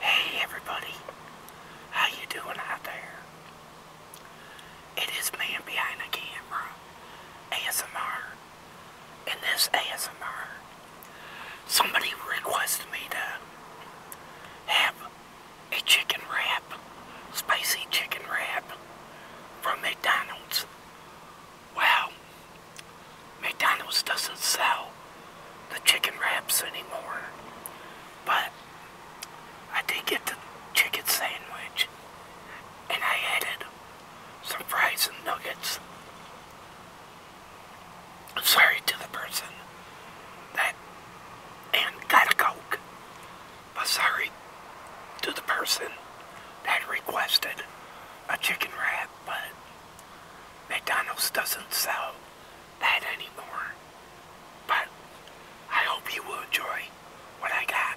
Hey everybody, how you doing out there? It is Man Behind the Camera, ASMR, and this ASMR. Somebody requested me to have a chicken wrap, spicy chicken wrap from McDonald's. Wow. McDonald's doesn't sell the chicken wraps anymore. But I did get the chicken sandwich and I added some fries and nuggets. I'm sorry to the person that and got a Coke. But sorry to the person that requested a chicken wrap, but McDonald's doesn't sell that anymore. But I hope you will enjoy what I got.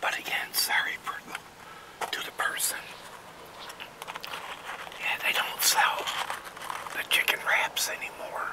But again, sorry for the, to the person. Yeah, they don't sell the chicken wraps anymore.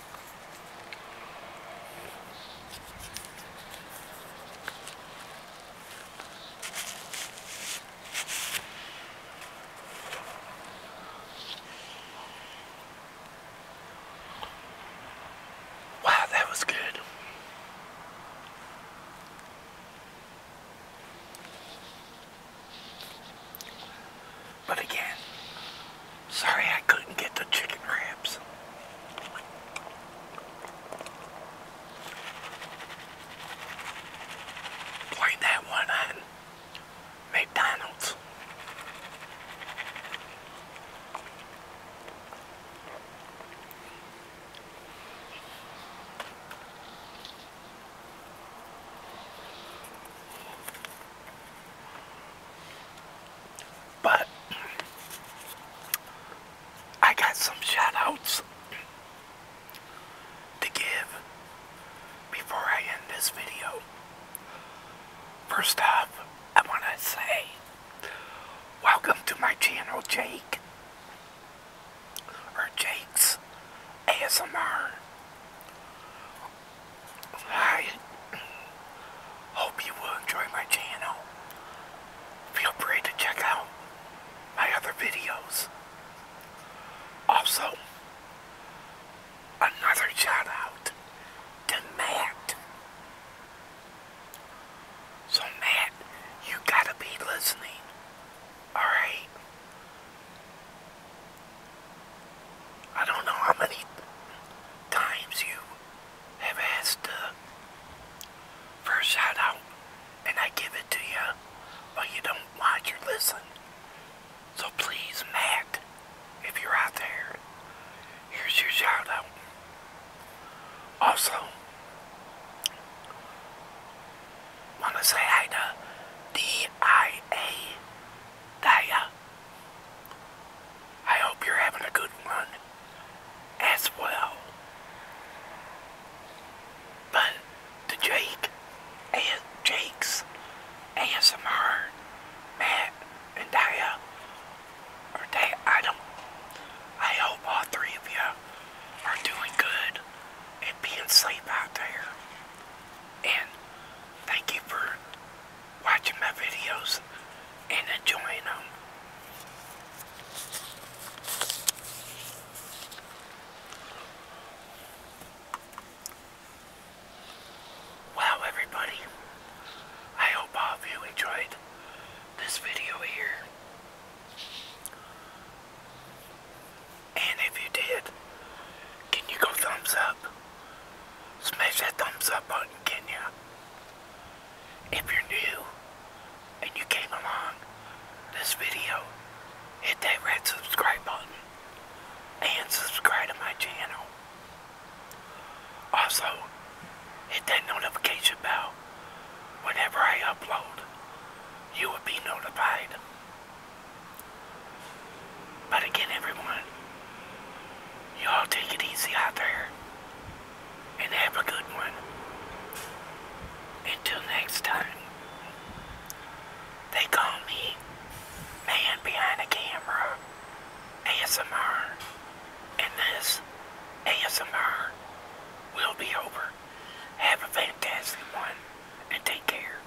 Wow, that was good. But again, Sorry I couldn't get the chicken wraps. Played that one on McDonald's. But I got some shout outs to give before I end this video. First off, I want to say welcome to my channel, Jake, or Jake's ASMR. Hi. Hope you will enjoy my channel. Feel free to check out my other videos. Also, another shout out to Matt. So Matt, you gotta be listening. Alright? I don't know how many times you have asked uh, for a shout out and I give it to you, but you don't watch or listen. So please, Matt, if you're out there, here's your shout out. Also, want to say hi to D.I.A. Daya. I hope you're having a good one as well. But the Jake, Jake's ASMR, Matt and Daya, or Daya, I I hope all three of you are doing good and being safe out there. And thank you for watching my videos and enjoying them. Wow, everybody. I hope all of you enjoyed this video here. And if you did, can you go thumbs up? smash that thumbs up button, can ya? If you're new and you came along this video, hit that red subscribe button and subscribe to my channel. Also, hit that notification bell. Whenever I upload, you will be notified. But again, everyone, you all take it easy out there and have a good one. Until next time, they call me Man Behind the Camera ASMR, and this ASMR will be over. Have a fantastic one and take care.